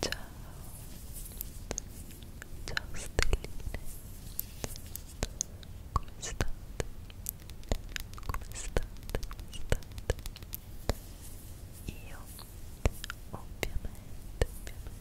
Ciao, ciao stelline, come state? Come state? Come state? Io ovviamente, ovviamente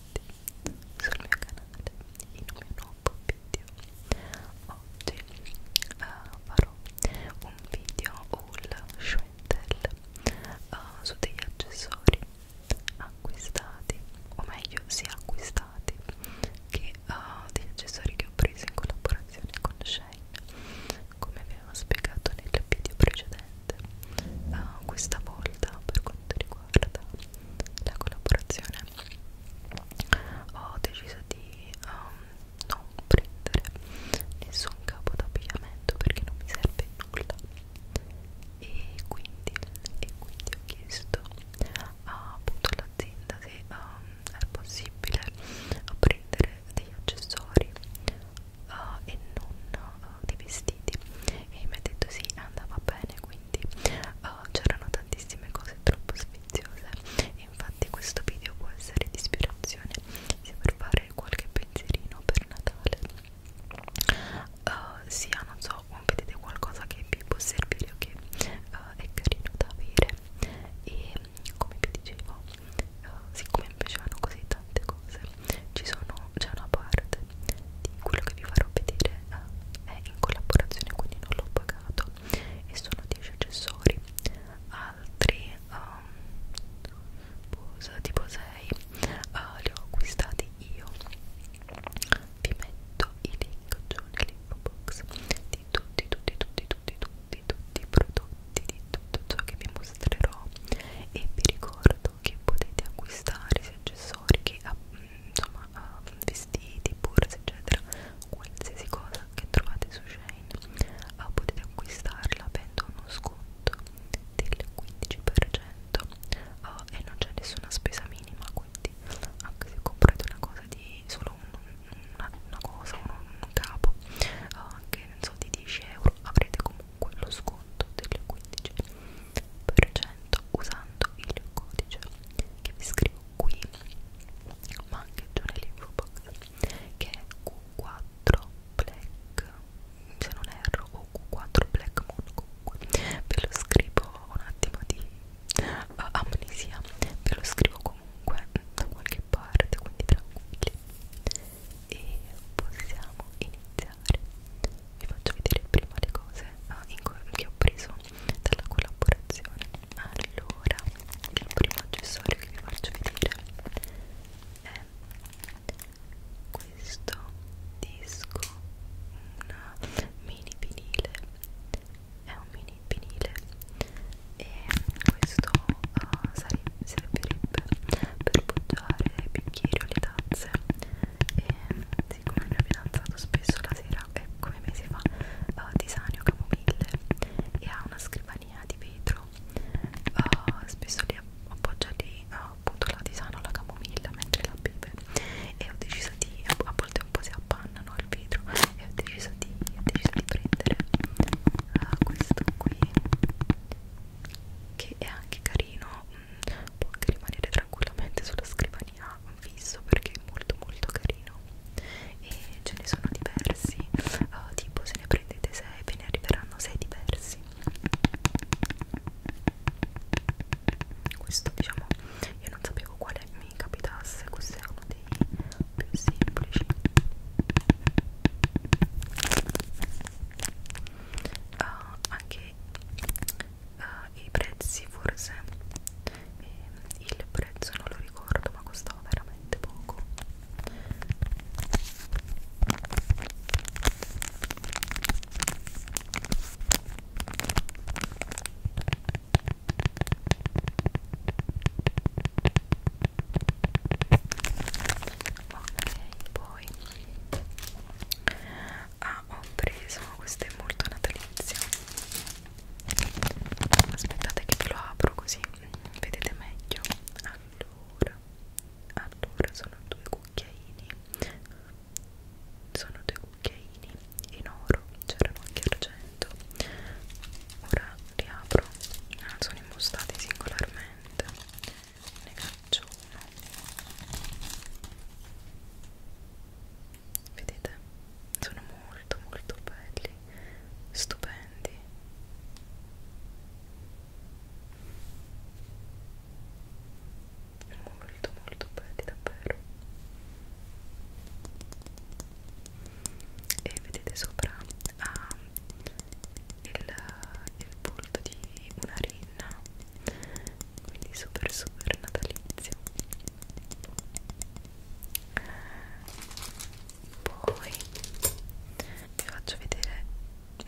benvenuti sul mio canale in un mio nuovo video oggi uh, farò un video haul Schwendel uh, su degli accessori acquistati o meglio si sì, acquistati che uh, degli accessori che ho preso in collaborazione con Shane come avevo spiegato nel video precedente Red uh, eh, questa volta per quanto riguarda la collaborazione ho deciso di um, non prendere nessun capo d'abbigliamento perché non mi serve nulla e quindi, e quindi ho chiesto a, appunto all'azienda se um, ehm, è possibile prendere degli accessori uh, e non di vestiti e mi ha detto sì andava bene quindi uh, c'erano tantissime cose troppo sfiziose e infatti questo video può essere di ispirazione sia per fare qualche pensierino per Natale uh, eh, sia ah, non so vedete qualcosa che vi può servire o che uh, è carino da avere e come vi dicevo uh, siccome mi piacevano così tante cose ci sono c'è una parte di quello che vi farò vedere eh, è in collaborazione quindi non l'ho pagato e sono 10 accessori altri um, tipo 6 uh, eh, li ho acquistati io vi metto i link giù nell'info box di tutti tutti tutti tutti tutti tutti i prodotti di tutto ciò che vi mostrerò e vi ricordo che potete acquistare sia accessori che insomma uh, vestiti, borse eccetera qualsiasi cosa che trovate su Shane uh, potete acquistarla avendo uno sconto del 15% uh, ah, e non c'è nessuna spesa minima quindi anche se comprate una cosa di solo un, una, una cosa, un, un capo uh, ah, anche non so di 10 euro avrete comunque lo sconto del 15% usando il codice che vi scrivo qui ma anche giù nell'info box che è Q4 Black se non erro o Q4 Black Moon comunque ve lo scrivo un attimo di uh, amnesia ve lo scrivo comunque da qualche parte quindi tranquilli e possiamo iniziare vi faccio vedere prima le cose ah, che ho preso dalla collaborazione allora il primo accessorio che vi faccio vedere è questo disco una mini vinile è un mini vinile e questo uh, eh, sarebbe, servirebbe per poggiare i bicchieri o le tazze e ragazzi con il mio fidanzato spesso la sera, eh, come mesi fa, uh, disanio camomille e ha una scrivania di vetro uh, spesso lì appoggia lì uh, appunto la disano alla camomilla mentre la beve e ho deciso di, a volte un po' si appannano il vetro e ho deciso di, ho deciso di prendere uh, questo qui che è anche carino può anche rimanere tranquillamente sulla scrivania fisso perché è molto molto carino e ce ne sono diversi uh, tipo se ne prendete 6 ve ne arriveranno 6 diversi questo diciamo io non sapevo quale mi capitasse questo è uno dei più semplici uh, anche uh, i prezzi forse e il prezzo non lo ricordo ma costava veramente poco ok poi ah ho preso questo è molto natalizio aspettate che ve lo apro così mm, vedete meglio allora allora sono due cucchiaini sono due cucchiaini in oro c'erano anche argento ora li apro ah, sono impostati singolarmente ne faccio uno vedete sono molto molto belli stupendi molto molto belli davvero e vedete sopra ah, il, il volto di una rinna quindi super super natalizio poi vi faccio vedere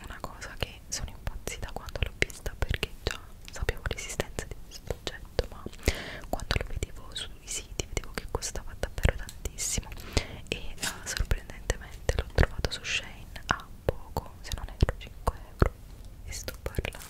una cosa che sono impazzita quando l'ho vista perché già sapevo l'esistenza di questo oggetto ma quando lo vedevo sui siti vedevo che costava davvero tantissimo e uh, sorprendentemente l'ho trovato su Shane a poco se non erro 5 euro e sto parlando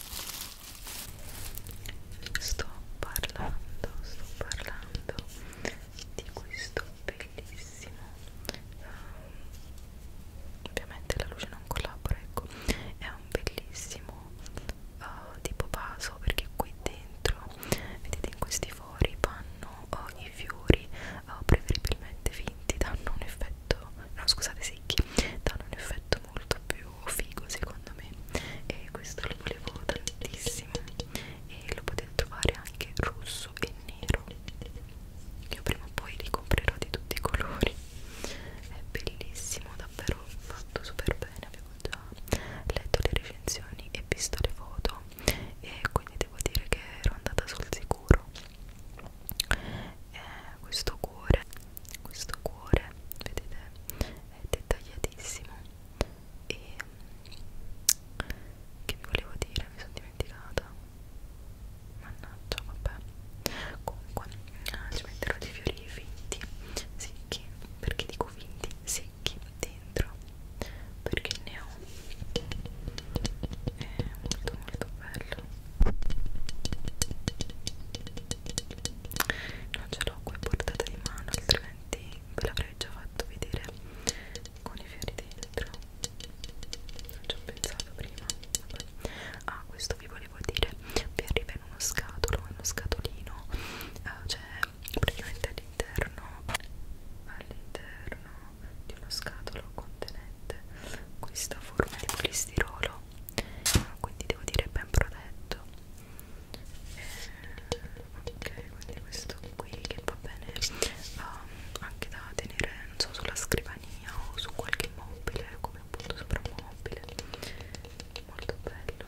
sto parlando sto parlando di questo bellissimo um, ovviamente la luce non collabora ecco è un bellissimo uh, tipo vaso perché qui dentro vedete in questi fori vanno uh, i fiori uh, preferibilmente finti danno un effetto effetto no scusate secchi danno un effetto molto più figo secondo me e questo lo volevo tantissimo e lo potete trovare anche rosso e nero io prima o poi li comprerò di tutti i colori è bellissimo davvero fatto super bene avevo già letto le recensioni e visto le foto e quindi devo dire che ero andata sul sicuro eh, questo cuore questo cuore vedete è dettagliatissimo e che vi volevo dire mi sono dimenticata mannaggia vabbè comunque ah, ci metterò dei fiori finti secchi perché dico finti secchi dentro perché ne ho è molto molto bello non ce l'ho qui portata di mano altrimenti ve l'avrei già fatto vedere con i fiori dentro non ci ho pensato prima Vabbè. ah questo vi volevo dire vi arriva in uno scatolo uno scatolino eh, cioè praticamente all'interno all'interno di uno scatolo contenente questa forma di polistirolo no quindi devo dire ben protetto eh, ok quindi questo qui che va bene um, anche da tenere non so sulla scrivania o su qualche mobile come appunto sopra un mobile molto bello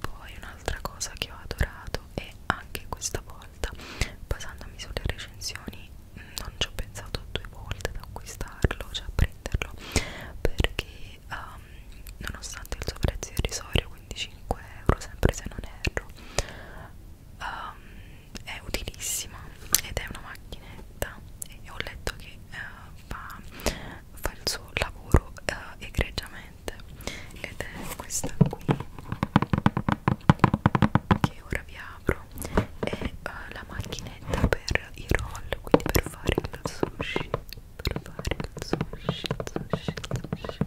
poi un'altra cosa che ho adorato e anche questa volta basandomi sulle recensioni non ci ho pensato due volte ad acquistarlo, cioè a prenderlo perché um, nonostante il suo prezzo irrisorio 25 euro sempre se non erro um, è utilissima ed è una macchinetta e ho letto che uh, fa, fa il suo lavoro uh, egregiamente ed è questa qui che ora vi apro e uh, la macchinetta per i roll, quindi per fare il sushi, per fare il sushi, sushi, sushi.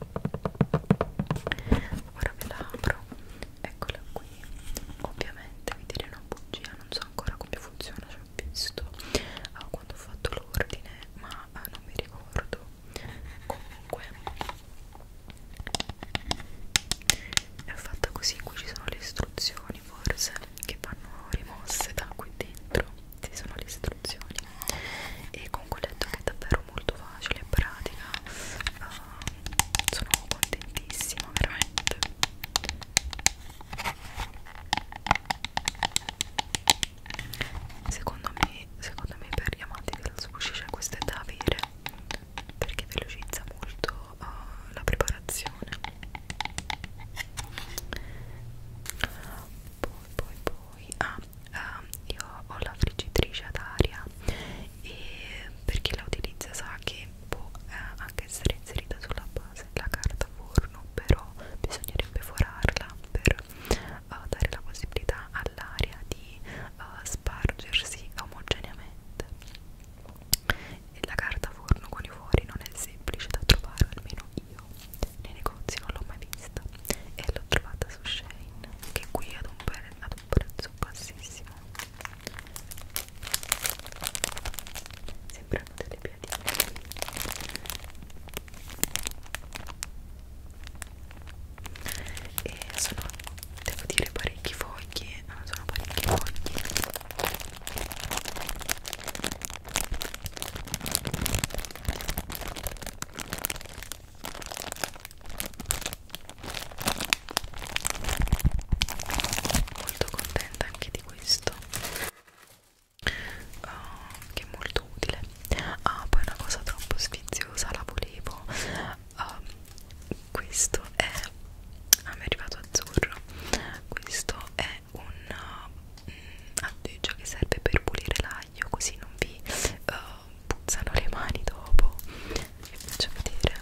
Ora ve la apro, eccola qui. Ovviamente vi direi una bugia, non so ancora come funziona, ci ho visto uh, quando ho fatto l'ordine, ma uh, non mi ricordo. Comunque è fatta così, qui ci sono le istruzioni forse che vanno rimosse da qui dentro ci sono le istruzioni e comunque ho detto che è davvero molto facile e pratica uh, sono contentissima veramente secondo me secondo me per gli amanti del sushi c'è questo da avere perché velocizza molto uh, la preparazione poi poi poi ah, uh, io ho la friggitrice ad aria e per chi la utilizza sa che può eh, anche essere inserita sulla base la carta forno però bisognerebbe forarla per uh, dare la possibilità all'aria di uh, spargersi omogeneamente e la carta forno con i fuori non è semplice da trovare, almeno io nei negozi non l'ho mai vista e l'ho trovata su Shane che qui ad un, pre ad un prezzo bassissimo sembrano delle piadine e sono devo dire parecchi fogli eh, sono parecchi fogli molto contenta anche di questo uh, che è molto utile ah poi una cosa troppo sfiziosa la volevo uh, questo è a me è arrivato azzurro questo è un uh, mm, appeggio che serve per pulire l'aglio così non vi uh, puzzano le mani dopo vi faccio vedere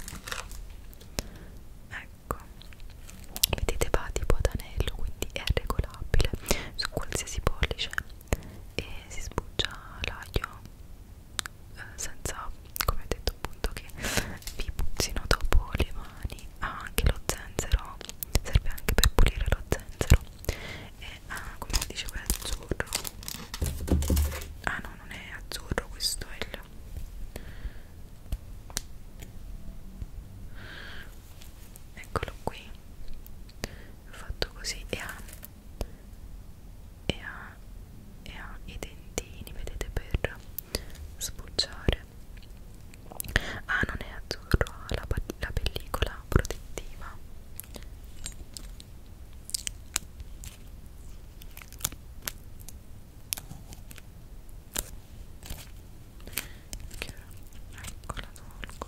ecco vedete va tipo ad anello quindi è regolabile su qualsiasi pollice e si sbuccia l'aglio eh, senza come ho detto appunto che vi puzzino dopo le mani ha ah, anche lo zenzero serve anche per pulire lo zenzero e ah, come si dice quello azzurro ah no non è azzurro questo è il eccolo qui ho fatto così e ha e ha, e ha i dentini vedete per sbucciare ah non è azzurro ha la, la pellicola protettiva che ecco la tolgo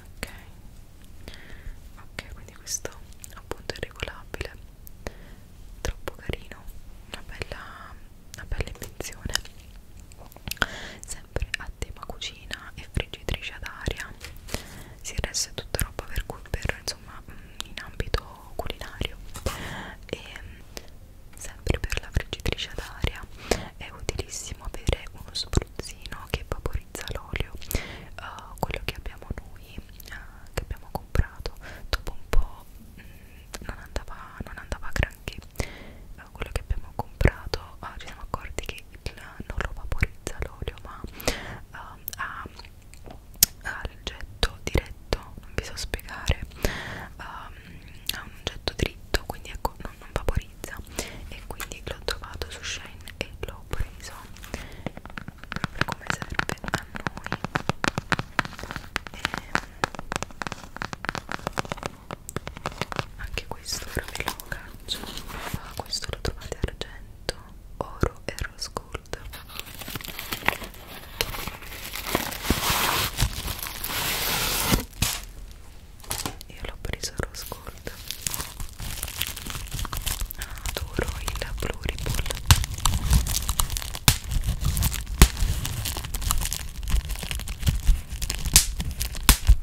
ok ok quindi questo appunto è regolabile troppo carino una bella, una bella invenzione sempre a tema cucina e friggitrice ad aria si resta tutta roba per, per insomma mm, in ambito culinario e mm, sempre per la friggitrice ad aria è utilissimo avere uno spruzzino che vaporizza l'olio uh, quello che abbiamo noi lui eh, che abbiamo comprato dopo un po' mh, mm, non, andava, non andava granché eh, quello che abbiamo comprato eh, ci siamo accorti che il, non lo vaporizza l'olio ma eh, ha, ha il getto diretto non vi so spiegare eh, ha un getto dritto quindi ecco non, non vaporizza e quindi l'ho trovato su Shane e l'ho preso proprio come serve a noi e ehm, anche questo ora ve lo caccio ah, questo lo trovate argento oro e rose gold io l'ho preso rose gold adoro il Blue Ripple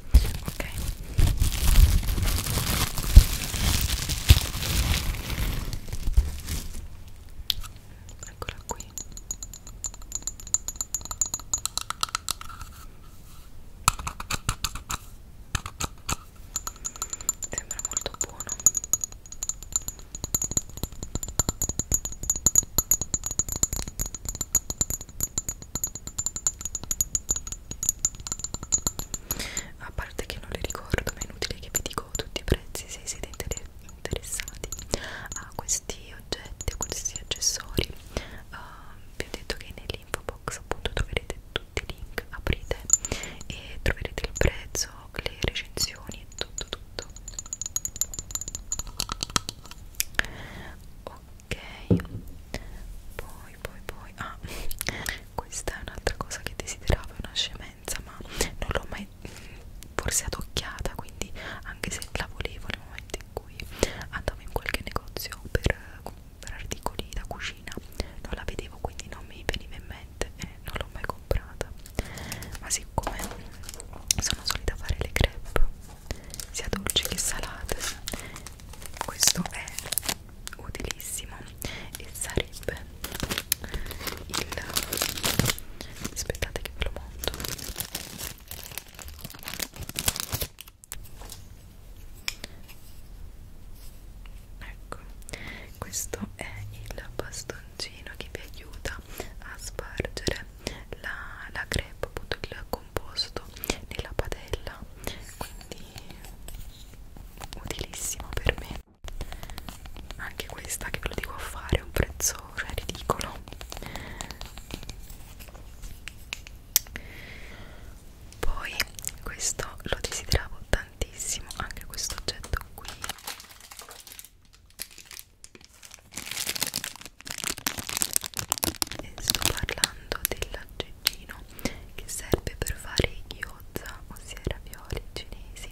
ok eccola qui ok sembra molto buono a parte che non le ricordo ma è inutile che vi dico tutti i prezzi se siete interessati a questi oggetti a questi accessori uh, vi ho detto che nell'info box appunto troverete trovate tutti i link, aprite e troverete il prezzo, le recensioni, tutto tutto ok poi poi poi ah questa è un'altra cosa che desideravo è una scemenza ma non l'ho mai forse adocchiata quindi anche se la volevo nel momento in cui andavo in qualche negozio per, per articoli da cucina non la vedevo quindi non mi veniva in mente niente e non l'ho mai comprata ma siccome sono solita fare le crepe sia dolci che salate questo è utilissimo e sarebbe il aspettate che ve lo monto ecco questo è il bastoncino che vi aiuta a spargere la, la crepe appunto il composto nella padella quindi utilissimo per me anche questa che ve lo dico a fare è un prezzo cioè, ridicolo poi questo lo desideravo tantissimo tantissimo anche questo oggetto qui e sto parlando dell'aggeggino che serve per fare i gyoza ossia i ravioli cinesi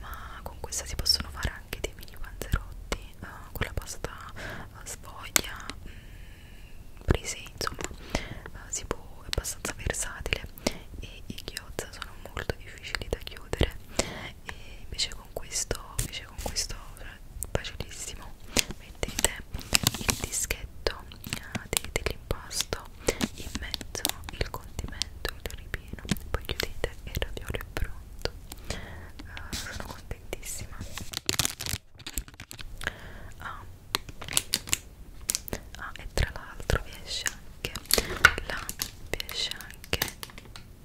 ma con questa si possono fare anche dei mini panzerotti uh, con la pasta uh, sfoglia mh, mm, prese insomma uh, si può è abbastanza versatile e i ghiozza sono molto difficili da chiudere e invece con questo invece con questo facilissimo mettete il dischetto uh, dell'impasto in mezzo il condimento il ripieno poi chiudete e il raviolo è pronto uh, sono contentissima ah, ah e tra l'altro vi esce anche la vi esce anche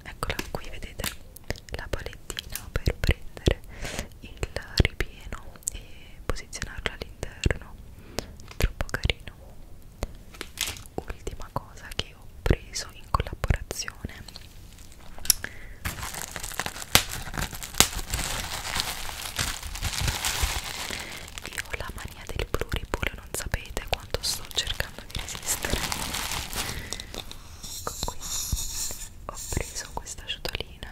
eccola qui vedete la palettina per prendere il ripieno e posizionarlo all'interno troppo carino ultima cosa che ho preso in collaborazione io ho la mania del pluripolo non sapete quanto sto cercando di resistere ecco qui ho preso questa ciotolina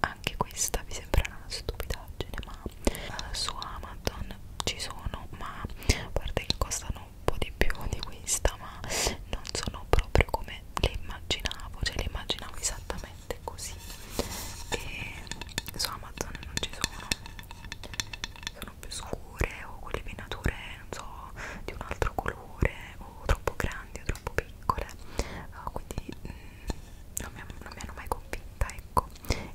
anche questa vi sembrerà una stupidaggine ma uh, su Amazon ci sono ma a parte che costano un po' di più di questa ma non sono proprio come le immaginavo cioè le immaginavo esattamente così e su Amazon non ci sono sono più scure o quelle venature non so di un altro colore o troppo grandi o troppo piccole uh, quindi mh, mm, non, mi, non mi hanno mai convinta ecco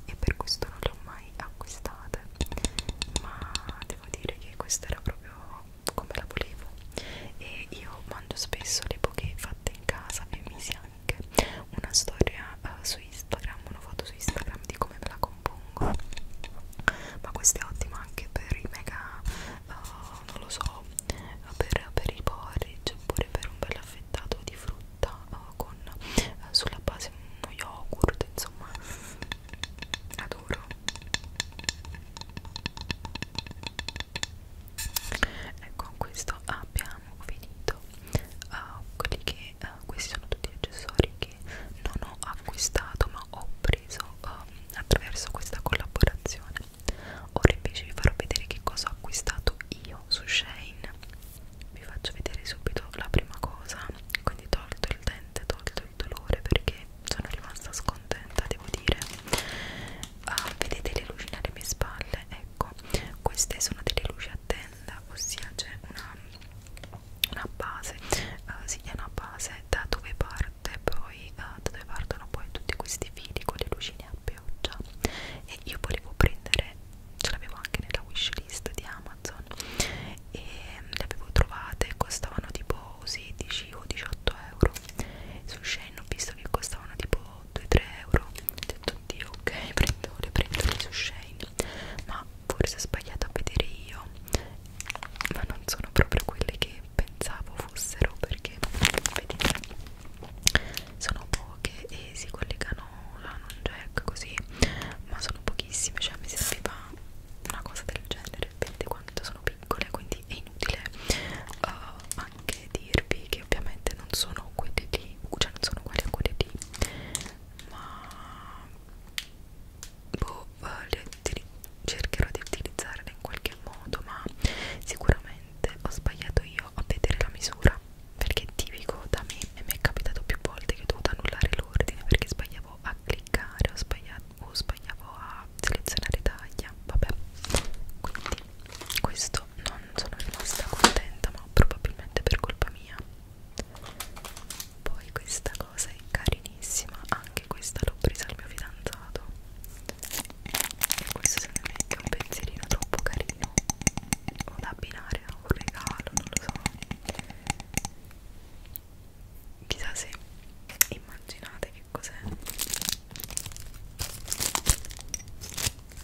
e per questo non le ho mai acquistate ma devo dire che questa era proprio come la volevo e io mangio spesso le poche fatte in casa e mi si anche una storia uh, su Instagram, una foto su Instagram di come me la compongo ma questo è ottimo anche per i mega, uh, non lo so, per, per i porridge oppure per un bel affettato di frutta uh, con uh, sulla base uno yogurt, insomma adoro ecco con questo abbiamo finito uh, quelli che e uh, questi sono tutti gli accessori che non ho acquistato ma ho preso uh, attraverso questa collaborazione ora invece vi farò vedere che cosa ho acquistato io su Shane vi faccio vedere subito la prima cosa quindi tolto il dente tolto il dolore perché sono rimasta scontenta devo dire uh, vedete le luci nelle mie spalle ecco queste sono delle luci a dente blend ossia c'è una, una base uh, sì, è una base da dove parte poi uh, da dove partono poi tutti questi fili con le lucine a pioggia e io volevo prendere ce l'avevo anche nella wishlist di Amazon e mm, le avevo trovate costavano tipo 16 o 18 euro su Shane ho visto che costavano tipo 2-3 euro ho detto oddio ok prendo, le prendo lì su Shane ma forse ho sbagliato a vedere io ma non sono proprio quelle che pensavo fossero perché vedete sono poche e si collegano a non jack così ma sono pochissime cioè mi serviva una cosa del genere vedete quanto sono piccole quindi è inutile uh, anche dirvi che ovviamente non sono quelle di cioè non sono quelle a quelle di ma boh, li cercherò di utilizzarle in qualche modo ma sicuramente ho sbagliato io a vedere la misura perché è tipico da me e mi è capitato più volte che ho dovuto annullare l'ordine perché sbagliavo a cliccare o sbagliavo, o sbagliavo a selezionare taglia vabbè quindi questo non sono rimasta contenta ma probabilmente per colpa mia poi questa cosa è carinissima anche questa l'ho presa al mio fidanzato e questo secondo me è un pensierino troppo carino o da abbinare a un regalo non lo so chissà se immaginate che cos'è faccio vedere bene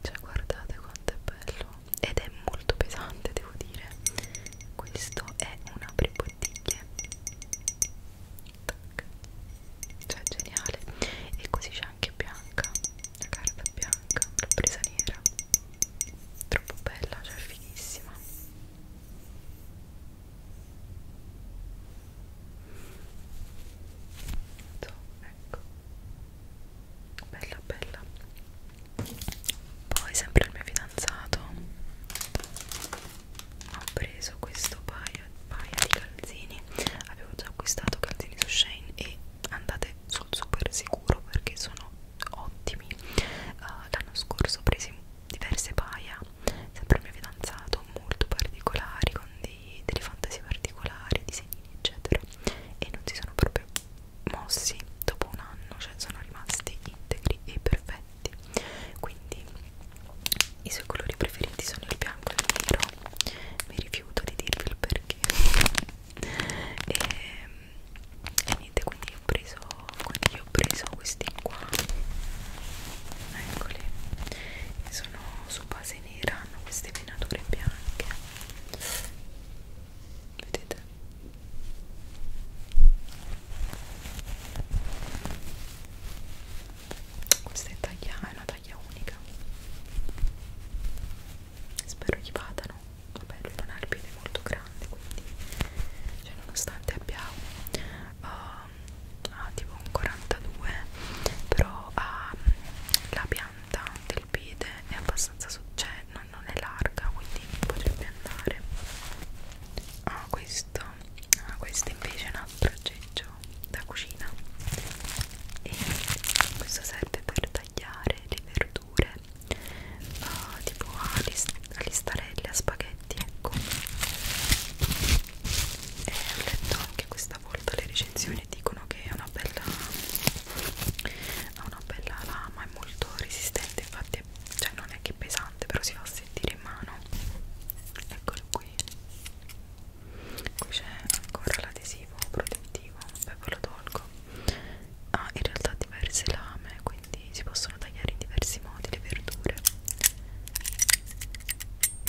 cioè guardate quanto è bello ed è molto pesante devo dire questo è un apribottiglie Tac. cioè geniale e così c'è anche bianca la carta bianca l'ho presa nera troppo bella cioè fighissima so, ecco bella bella poi sempre il mio fidanzato ho preso questo paio, paio di calzini avevo già acquistato calzini su Shane e andate sul super sicuro perché sono ottimi uh, l'anno scorso ho preso diverse paia sempre il mio fidanzato molto particolari con dei, delle fantasie particolari disegni eccetera e non si sono proprio mossi dopo un anno cioè sono rimasti integri e perfetti quindi i suoi colori preferiti sono il bianco e il nero mi rifiuto di dirvi il perché e ehm, e niente quindi ho preso quindi ho preso questi qua eccoli sono su base nera hanno queste venature bianche vedete questa è taglia è una taglia unica spero gli vadano vabbè lui è un arbitro molto grande grande quindi cioè, nonostante abbia uh, ah, tipo un 42 però ha la pianta del piede è abbastanza cioè non, non è larga quindi potrebbe andare ah questo ah, questo invece è un altro aggeggio da cucina e questo serve per tagliare le verdure uh, tipo a, list a listarelle, a spaghetti, ecco. E ho letto anche questa volta le recensioni dicono che è una bella ha una bella lama, è molto resistente, infatti cioè non è che è pesante, però si fa sentire in mano. Eccolo qui. Qui c'è ancora l'adesivo protettivo, vabbè ve lo tolgo. Ha ah, in realtà diverse lame, quindi quindi si possono tagliare in diversi modi le verdure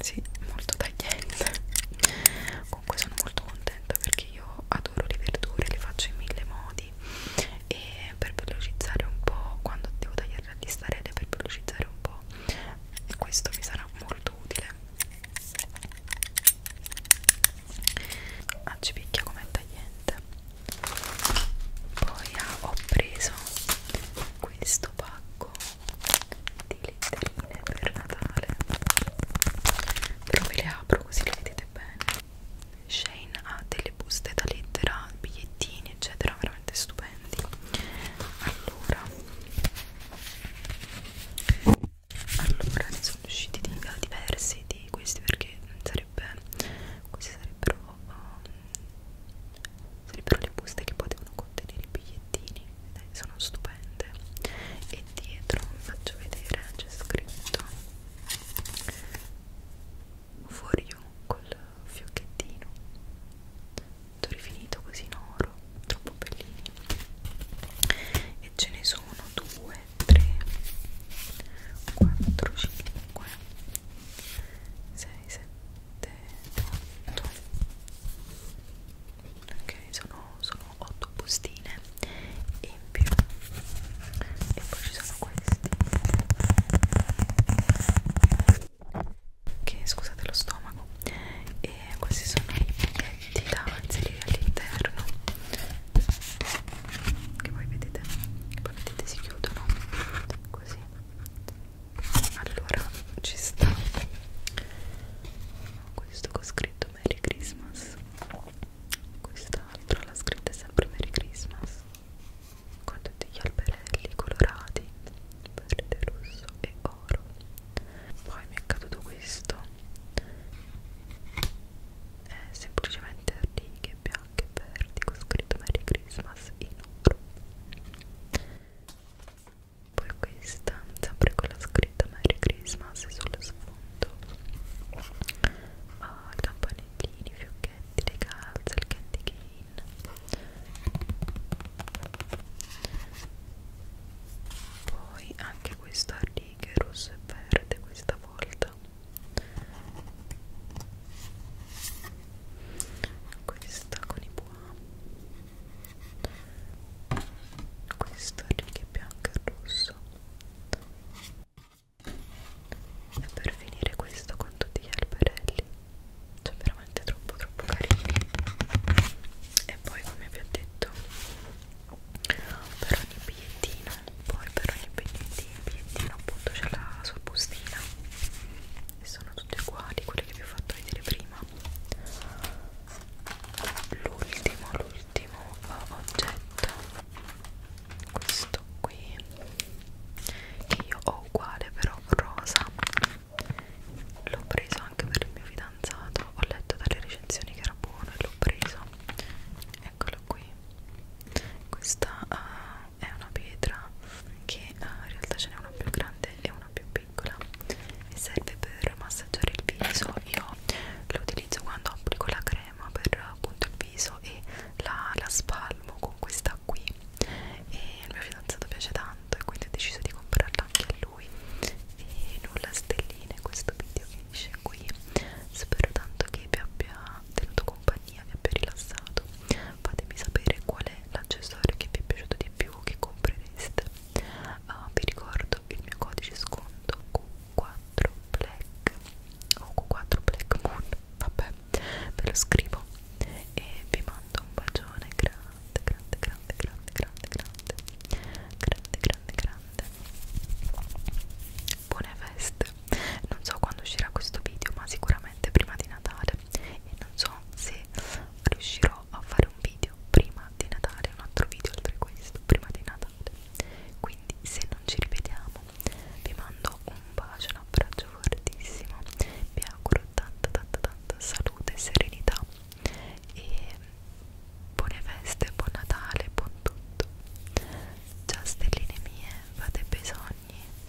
sì, molto tagliente comunque sono molto contenta perché io adoro le verdure, le faccio in mille modi e per velocizzare un po' quando devo tagliare la listarelle per velocizzare un po' questo mi sarà molto utile ah ci picchia come tagliente poi ah, ho preso questo pacco di letterine per Natale però ve le apro così le vedete bene Shane ha delle buste da lettera, bigliettini eccetera veramente stupendi allora allora ne sono usciti diversi di questi perché sarebbe queste sarebbero um, sarebbero le buste che potevano contenere i bigliettini Dai, sono stupende e dietro vi faccio vedere c'è scritto for you col fiocchettino ho rifinito così in oro troppo bellini e ce ne sono 2 3 4 5 6, 7, 8 ok sono, sono 8 bustine in più e poi ci sono questi che scusate lo stomaco e questi sono i pacchetti da inserire all'interno che voi vedete poi vedete si chiudono così allora ci sta questo che ho scritto Merry Christmas quest'altro l'ha scritta sempre Merry Christmas con tutti gli alberelli colorati verde, rosso e oro poi mi è caduto questo è semplicemente righe bianche bianche e verdi con scritto Merry Christmas in oro poi questa sempre con la scritta Merry Christmas sullo sfondo oh, i campanellini, i fiocchetti, le calze, il candy cane poi anche questa a righe rosso e verde questa volta questa con i bois questo a righe bianche e rosso e per finire questo con tutti gli alberelli cioè veramente troppo troppo carini e poi come vi ho detto per ogni bigliettino poi per ogni bigliettino, bigliettino appunto c'è la sua bustina sono tutte uguali quelle che vi ho fatto vedere prima l'ultimo l'ultimo oggetto questo qui che io ho uguale però rosa l'ho preso anche per il mio fidanzato ho letto dalle recensioni che era buono e l'ho preso eccolo qui questa uh, è una pietra che uh, in realtà ce n'è una più grande e una più piccola mi serve per massaggiare il viso io lo utilizzo quando applico la crema per appunto il viso e la, la spalmo con questa qui e il mio fidanzato piace tanto e quindi ho deciso di comprarla anche a lui e nulla stelline questo video finisce qui spero tanto che vi abbia tenuto compagnia vi abbia rilassato fatemi sapere qual è l'accessorio che vi è piaciuto di più che comprereste uh, vi ricordo il mio codice sconto Q4 Black o Q4 Black Moon vabbè ve lo scrivo e vi mando un bacione grande grande grande grande grande grande grande grande grande buone feste non so quando uscirà questo video ma sicuramente prima di Natale e non so se riuscirò a fare un video prima di Natale, un altro video oltre questo, prima di Natale. Quindi se non ci rivediamo vi mando un bacio, un abbraccio fortissimo, vi auguro tanta tanta tanta salute e serenità e buone feste, buon Natale, buon tutto. Ciao stelline mie, fate bisogni